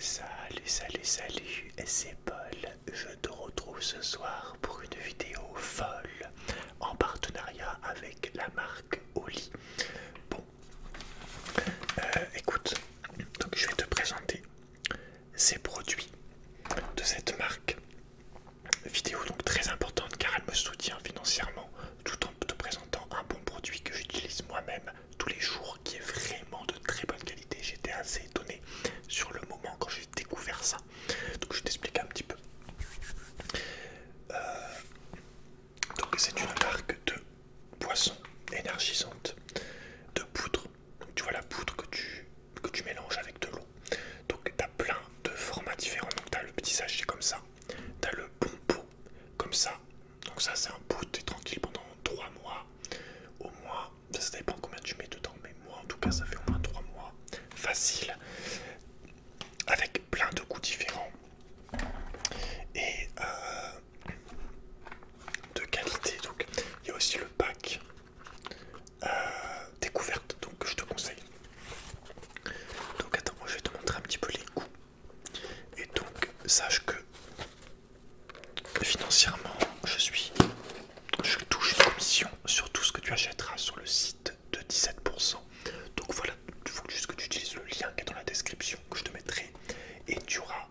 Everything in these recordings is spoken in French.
Salut, salut, salut, c'est Paul. Je te retrouve ce soir pour une vidéo folle en partenariat avec la marque Oli. Bon, euh, écoute, donc je vais te présenter ces produits de cette marque. Vidéo donc très importante car elle me soutient financièrement tout en te présentant un bon produit que j'utilise moi-même tous les jours qui est vraiment de très bonne qualité. J'étais assez étonné sur le moment quand j'ai découvert ça. Donc je t'explique un petit peu. Euh, donc c'est une marque de poisson énergisante, de poudre. tu vois la poudre que tu, que tu mélanges avec de l'eau. Donc tu as plein de formats différents. Donc tu le petit sachet comme ça, tu as le bon pot comme ça, donc ça c'est un bout, es tranquille pendant 3 mois. Au moins, ça dépend combien tu mets dedans, mais moi en tout cas ça fait au moins 3 mois. Facile. Avec plein de goûts différents. Et euh, de qualité. Donc il y a aussi le pack euh, découverte. Donc je te conseille. Donc attends, moi je vais te montrer un petit peu les goûts. Et donc, sache que financièrement, je suis, je touche une commission sur tout ce que tu achèteras sur le site de 17%. Donc voilà, il faut juste que tu utilises le lien qui est dans la description que je te mettrai et tu auras,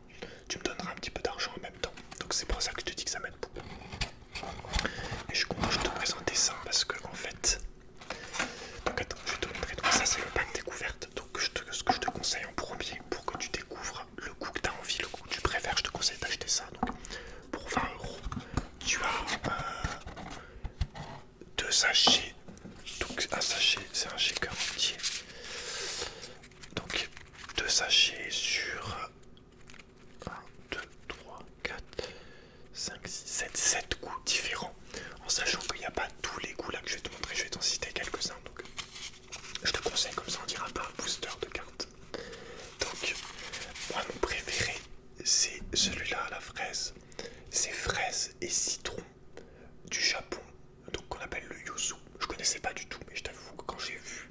tu me donneras un petit peu d'argent en même temps. Donc c'est pour ça que je te dis que ça m'aide beaucoup. Et je commence content te présenter ça parce que en fait, donc attends, je te montrer. Donc ça c'est le pack découverte. Donc, ce que je te conseille en premier pour que tu découvres le goût que tu as envie, le goût que tu préfères, je te conseille d'acheter ça. pour 20 euros, tu as 2 euh, deux sachets. Donc, un sachet, c'est un shaker entier. Donc, deux sachets sur 1, 2, 3, 4, 5, 6, 7, 7 goûts différents en sachant qu'il n'y a pas tous les goûts là que je vais te montrer, je vais t'en citer quelques-uns. Donc, euh, je te conseille comme ça, on dira pas un booster de cartes. Donc, moi mon préféré, c'est celui-là, la fraise. C'est fraise et citron du Japon, donc qu'on appelle le yuzu. Je connaissais pas du tout, mais je t'avoue que quand j'ai vu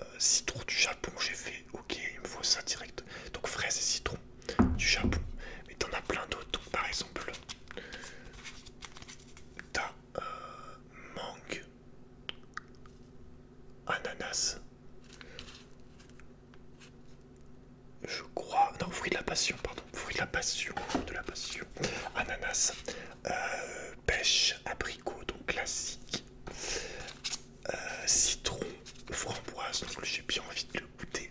euh, citron du Japon, j'ai fait ok, il me faut ça direct. Donc fraise et citron du Japon, mais t'en as plein d'autres. par exemple, ta mangue, ananas. Je crois. Non, fruit de la passion, pardon. Fruit de la passion, de la passion. Ananas, euh, pêche, abricot, donc classique. Euh, citron, framboise, donc j'ai bien envie de le goûter.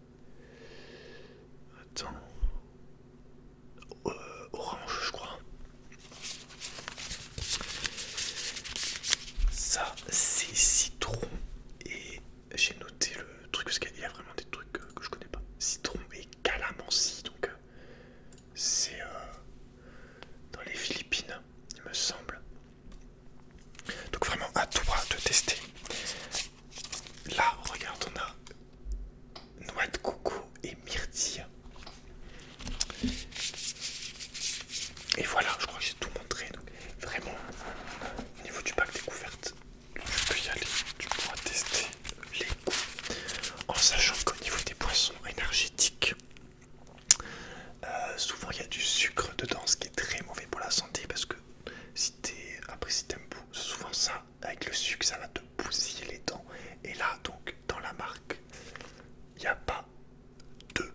Attends. Euh, orange, je crois. Ça, c'est citron. Et j'ai noté le truc parce qu'il y a vraiment des trucs que, je connais pas. Citron et calamansi, donc euh, c'est euh, dans les Philippines, il me semble. Donc vraiment à toi de tester. Là, regarde, on a noix de coco et myrtille. Et voilà, je crois que j'ai tout montré. Donc vraiment, au niveau du pack découverte, tu peux y aller, tu pourras tester les goûts. En sachant qu'au niveau des poissons énergétiques, euh, souvent il y a du sucre dedans, ce qui est très mauvais pour la santé parce que si t'es après si t'aimes souvent ça avec le sucre, ça va te bousiller les dents. Et là donc dans la marque, il n'y a pas de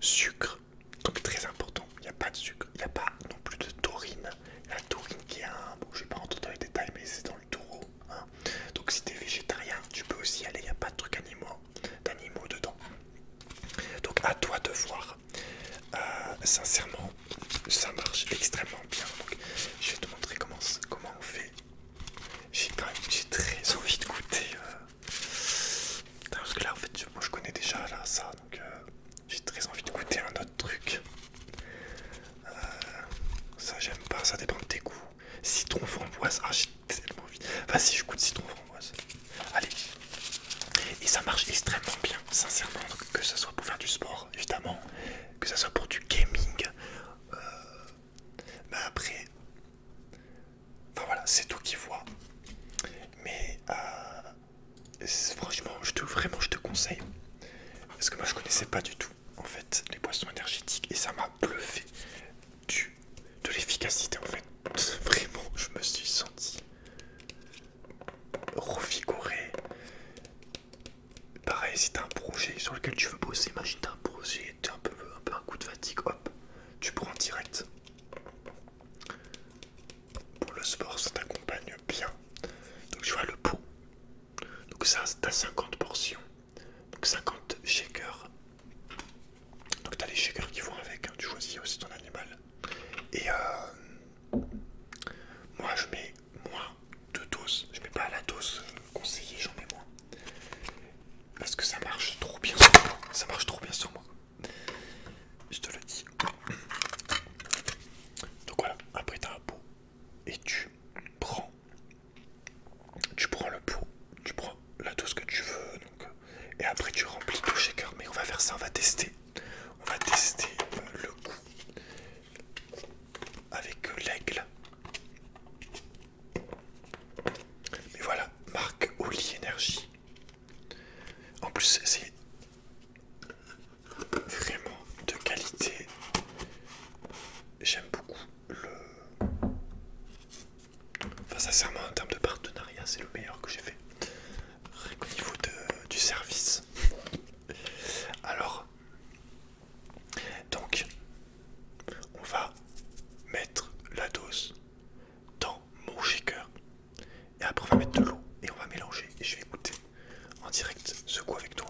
sucre, donc très important. Il n'y a pas de sucre, il n'y a pas non plus de taurine. La taurine qui est un, bon je vais pas rentrer dans les détails, mais c'est dans le taureau. Hein. Donc si t'es végétarien, tu peux aussi aller. Il n'y a pas de truc animaux d'animaux dedans. Donc à toi de voir. Euh, sincèrement, ça marche extrêmement bien. je vais te montrer comment, on fait. J'ai très envie de goûter. Euh. Parce que là, en fait, je connais déjà ça. Donc euh, j'ai très envie de goûter un autre truc. ça j'aime pas, ça dépend de tes goûts. Citron, framboise, ah tellement vite. Vas-y, je coûte citron framboise. Allez. Et ça marche extrêmement bien, sincèrement. que ça soit pour faire du sport, évidemment, que ça soit pour du gaming. Euh, mais après, enfin voilà, c'est tout qui voit. Mais euh, franchement, je vraiment, je te conseille. Parce que moi, je connaissais pas du tout en fait les boissons énergétiques et ça m'a bluffé du de l'efficacité en fait. Vraiment, je me suis senti revigoré. Pareil, si t'as un projet sur lequel tu veux bosser, imagine t'as un projet, t'as un peu, un peu un coup de fatigue, hop, tu prends direct. Pour le sport, ça t'accompagne bien. Donc tu vois le pot. Donc ça, t'as 50 portions. Donc 50 shakers donc t'as les shakers qui vont avec, hein. tu choisis aussi ton animal. Et euh, moi je mets moins de doses, je mets pas la dose conseillée, j'en mets moins. Parce que ça marche trop bien sur moi, ça marche trop bien sur moi. Je te le dis. Donc voilà, après t'as un pot et tu prends tu prends le pot, tu prends tout ce que tu veux, donc, euh, et après tu remplis tout shaker. Mais on va faire ça, on va tester. On va tester euh, le goût avec euh, l'aigle. Mais voilà, marque Oli Energy. En plus, c'est vraiment de qualité. J'aime beaucoup le Enfin, sincèrement, en termes de partenariat, c'est le meilleur que j'ai fait. Au niveau du service. Alors, donc, on va mettre la dose dans mon shaker. Et après, on va mettre de l'eau et on va mélanger. Et je vais goûter en direct ce coup avec toi.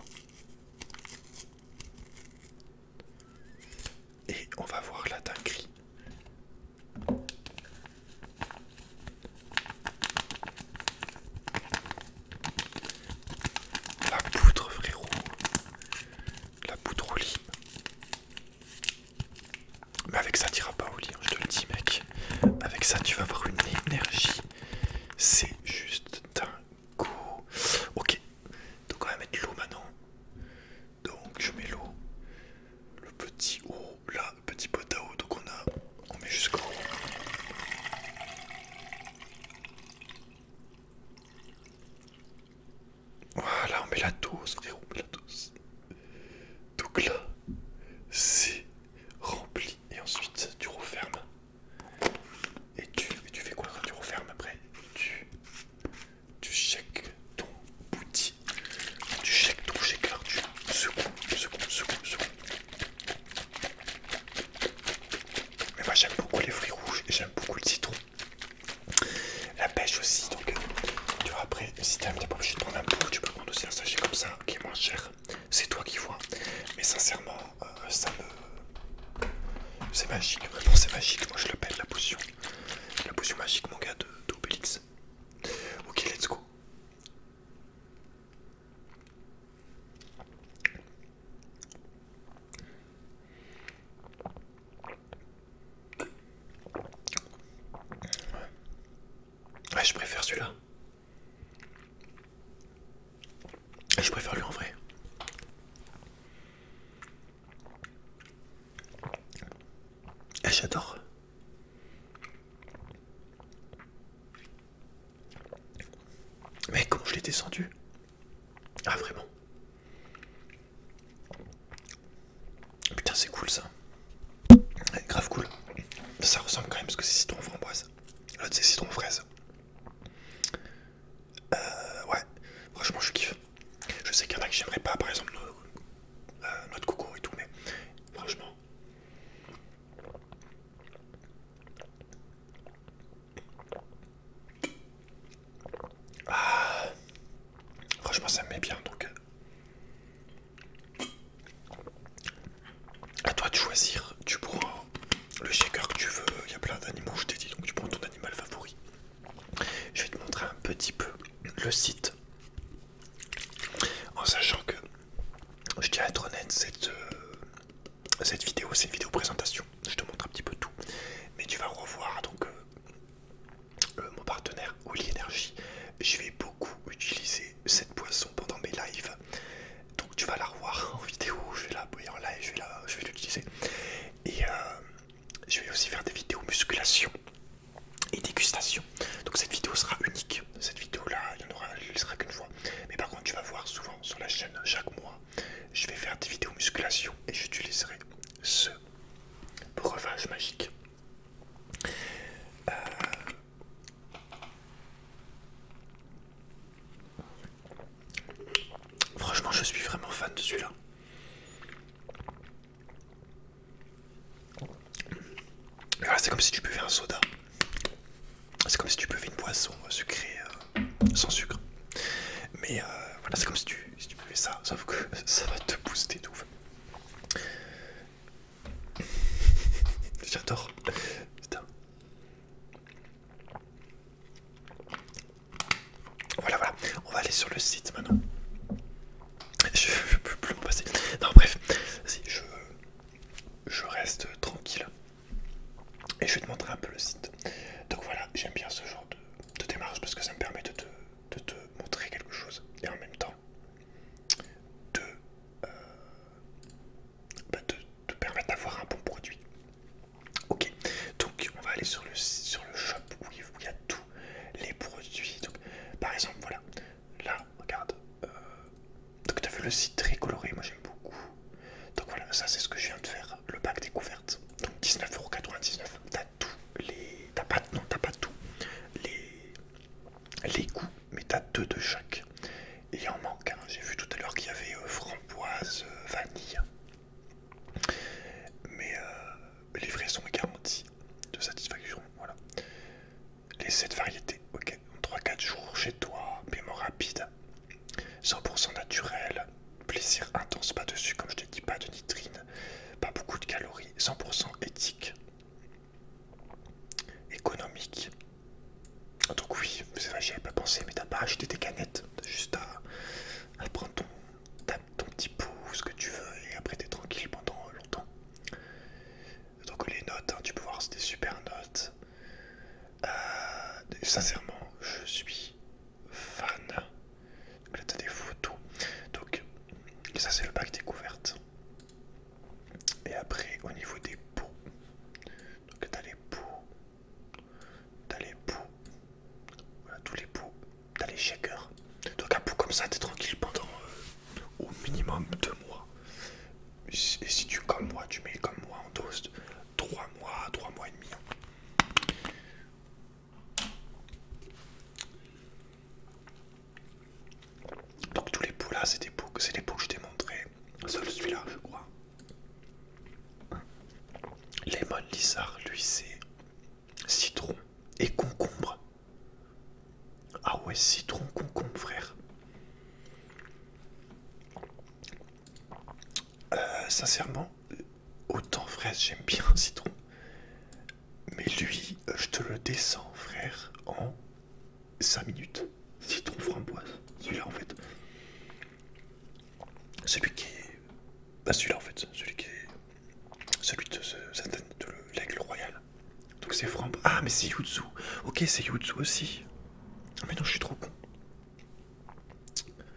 Et on va voir la dinguerie. La poudre, frérot. La poudre au lit. Mais avec ça, n'iras pas au lit, hein, je te le dis, mec. Avec ça, tu vas avoir une énergie. C'est juste dingo. Ok, donc on va mettre l'eau maintenant. Donc je mets l'eau, le petit haut, là, petit pot à donc on a, met jusqu'en haut. Voilà, on met la dose, frérot, on met la dose. Donc là, c'est rempli. Et ensuite, tu refermes. Et tu, tu fais quoi tu refermes après Tu tu shakes ton bouti, tu shakes ton shaker, tu secoues, secoues, secoues, secoues. Mais moi j'aime beaucoup les fruits rouges j'aime beaucoup le citron. La pêche aussi, donc euh, tu vois après, si t'aimes, t'es pas obligé de prendre un pot, tu peux prendre aussi un sachet comme ça qui est moins cher. C'est toi qui vois. Mais sincèrement, euh, ça me c'est magique, vraiment c'est magique, moi je l'appelle la potion. La potion magique, mon gars, d'Obélix. Ok, let's go. ouais je préfère celui-là. Je préfère lui en vrai. Ah, j'adore. Mais comment je l'ai descendu Ah vraiment Putain c'est cool ça. grave cool. Ça ressemble quand même parce que c'est citron framboise. L'autre c'est citron fraise. Euh, ouais, franchement, je kiffe. Je sais qu'il y en a que j'aimerais pas, par exemple, euh, notre coco et tout, mais franchement. Ah, franchement, ça me met bien donc. Euh. À toi de choisir, tu pourras le shaker que tu veux, il y a plein d'animaux, je t'ai dit, donc tu prends ton animal favori. Je vais te montrer un petit peu le site. En sachant que, je tiens à être honnête, cette, euh, cette vidéo, c'est une vidéo présentation. Je te montre un petit peu tout. Mais tu vas revoir donc euh, euh, mon partenaire, Oli Energy. Je vais beaucoup utiliser cette poisson pendant mes lives donc tu vas la revoir en vidéo, je vais la boyer en live, je vais l'utiliser. Et euh, je vais aussi faire des vidéos musculation et dégustation. Donc cette vidéo sera unique. Cette vidéo là, il n'y en aura, qu'une fois. Mais par contre, tu vas voir souvent sur la chaîne chaque mois, je vais faire des vidéos musculation et j'utiliserai ce breuvage magique. Euh, Franchement, je suis vraiment fan de celui-là. c'est comme si tu buvais un soda. C'est comme si tu buvais une boisson euh, sucrée euh, sans sucre. Mais euh, voilà, c'est comme si tu, si tu ça, sauf que ça va te booster tout. J'adore. Voilà, voilà. On va aller sur le site maintenant. Je ne plus passer. Non, bref, si je, je reste tranquille et je vais te montrer un peu le site. Donc voilà, j'aime bien ce genre de, démarche parce que ça me permet de te, montrer quelque chose et en même temps de, euh, bah, te, permettre d'avoir un bon produit. Ok, donc on va aller sur le, sur le shop où il, y a tous les produits. Donc, par exemple, voilà, là, regarde. Euh, donc tu as vu le site très coloré, moi j'aime beaucoup. Donc voilà, ça c'est ce que je viens de faire, le pack découverte. Donc 19,99€, t'as tous les... T'as pas, non, pas tous les... les goûts mais t'as deux de chaque. Et il en manque J'ai vu tout à l'heure qu'il y avait euh, framboise, euh, vanille. Mais euh, livraison est garantie de satisfaction. Voilà. Les 7 variétés, ok. 3-4 jours chez toi, paiement rapide, 100% naturel, plaisir intense, pas dessus, comme je te dis. pas de nitrine, pas beaucoup de calories, 100% éthique, économique, ah, donc oui, c'est vrai, j'y avais pas pensé, mais t'as pas acheté des canettes, t'as juste à, prendre ton, petit ton petit pouce, ce que tu veux, et après t'es tranquille pendant longtemps. Donc les notes, hein, tu peux voir, c'est des super notes. Euh, sincèrement, je suis fan. Donc là t'as des photos. Donc ça c'est le bac découverte. Et après au niveau des pots, donc t'as les poux, t'as les poux, voilà tous les poux, t'as les shakers. Donc un poux comme ça, t'es tranquille pendant euh, au minimum deux mois. Et si tu comme moi, tu mets comme moi en dose 3 mois, 3 mois et demi. Donc tous les poux là, c'est des poux que je t'ai montré. Seul celui-là, je crois. Lemon Lizard, lui, c'est citron et concombre. Ah ouais, citron, concombre, frère. Euh, sincèrement, autant fraise, j'aime bien citron. Mais lui, euh, je te le descends, frère, en 5 minutes. Citron framboise. Celui-là en fait. Celui qui est. Bah celui-là en fait. Celui qui est. Celui de, l'aigle royal. Donc c'est framboise. Ah mais c'est Yuzu. Ok c'est Yuzu aussi. Ah, mais non je suis trop con.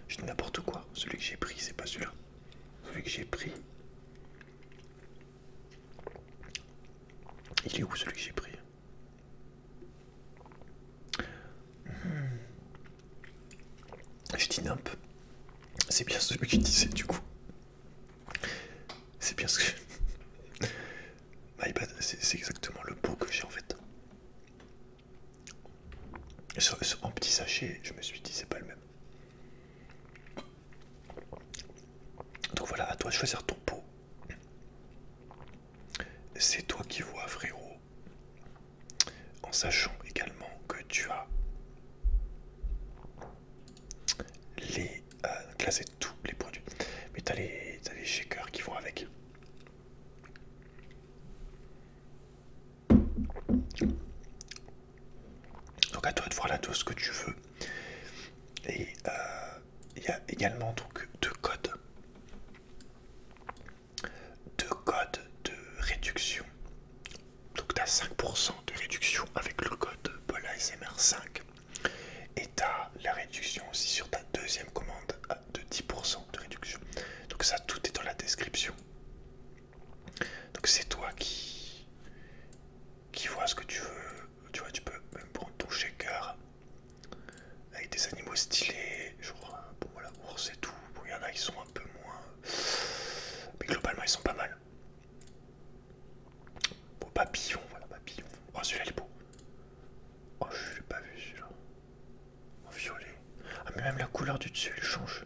Je dis n'importe quoi. Celui que j'ai pris c'est pas celui-là. Celui que j'ai pris. Il est où celui que j'ai pris Hmm. J'ai dit C'est bien ce que je disais du coup. C'est bien ce que... My bad, c'est exactement le pot que j'ai en fait. En petit sachet, je me suis dit c'est pas le même. Donc voilà, à toi de choisir ton pot. C'est toi qui vois, frérot. En sachant également que tu as les. Euh, là, c'est tous les produits. Mais t'as les, as les shakers qui vont avec. Donc à toi de voir tout ce que tu veux. Et euh, il y a également donc deux codes. Deux codes de réduction. Donc tu as 5% de réduction avec le code smr 5. Et tu as la réduction aussi sur ta deuxième commande de 10% de réduction. Donc ça tout est dans la description. Donc c'est toi qui qui vois ce que tu veux tu vois, tu peux même prendre ton shaker avec des animaux stylés, genre, bon voilà, ours et tout. Bon, il y en a qui sont un peu moins. Mais globalement, ils sont pas mal. Bon, papillon, voilà, papillon. Oh, celui-là, il est beau. Oh, je l'ai pas vu celui-là. En oh, violet. Ah, mais même la couleur du dessus, il change.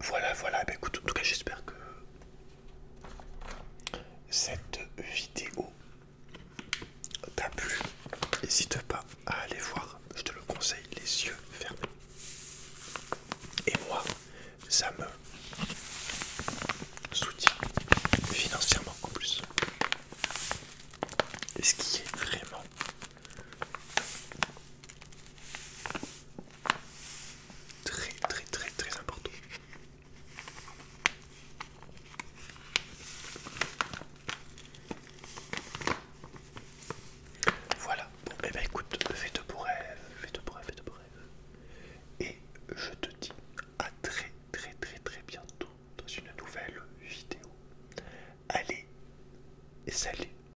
Voilà, voilà. Bah, écoute, en tout cas, j'espère que cette vidéo t'a plu. N'hésite pas à aller voir. Je te le conseille, les yeux fermés. Et moi, ça me soutient financièrement en plus. ce qui est vraiment Très très très très important. Voilà, bon et eh ben, écoute, fais de pour rêves, fais de beaux rêves, fais de beaux Et je te dis à très très très très bientôt dans une nouvelle vidéo. Allez, et salut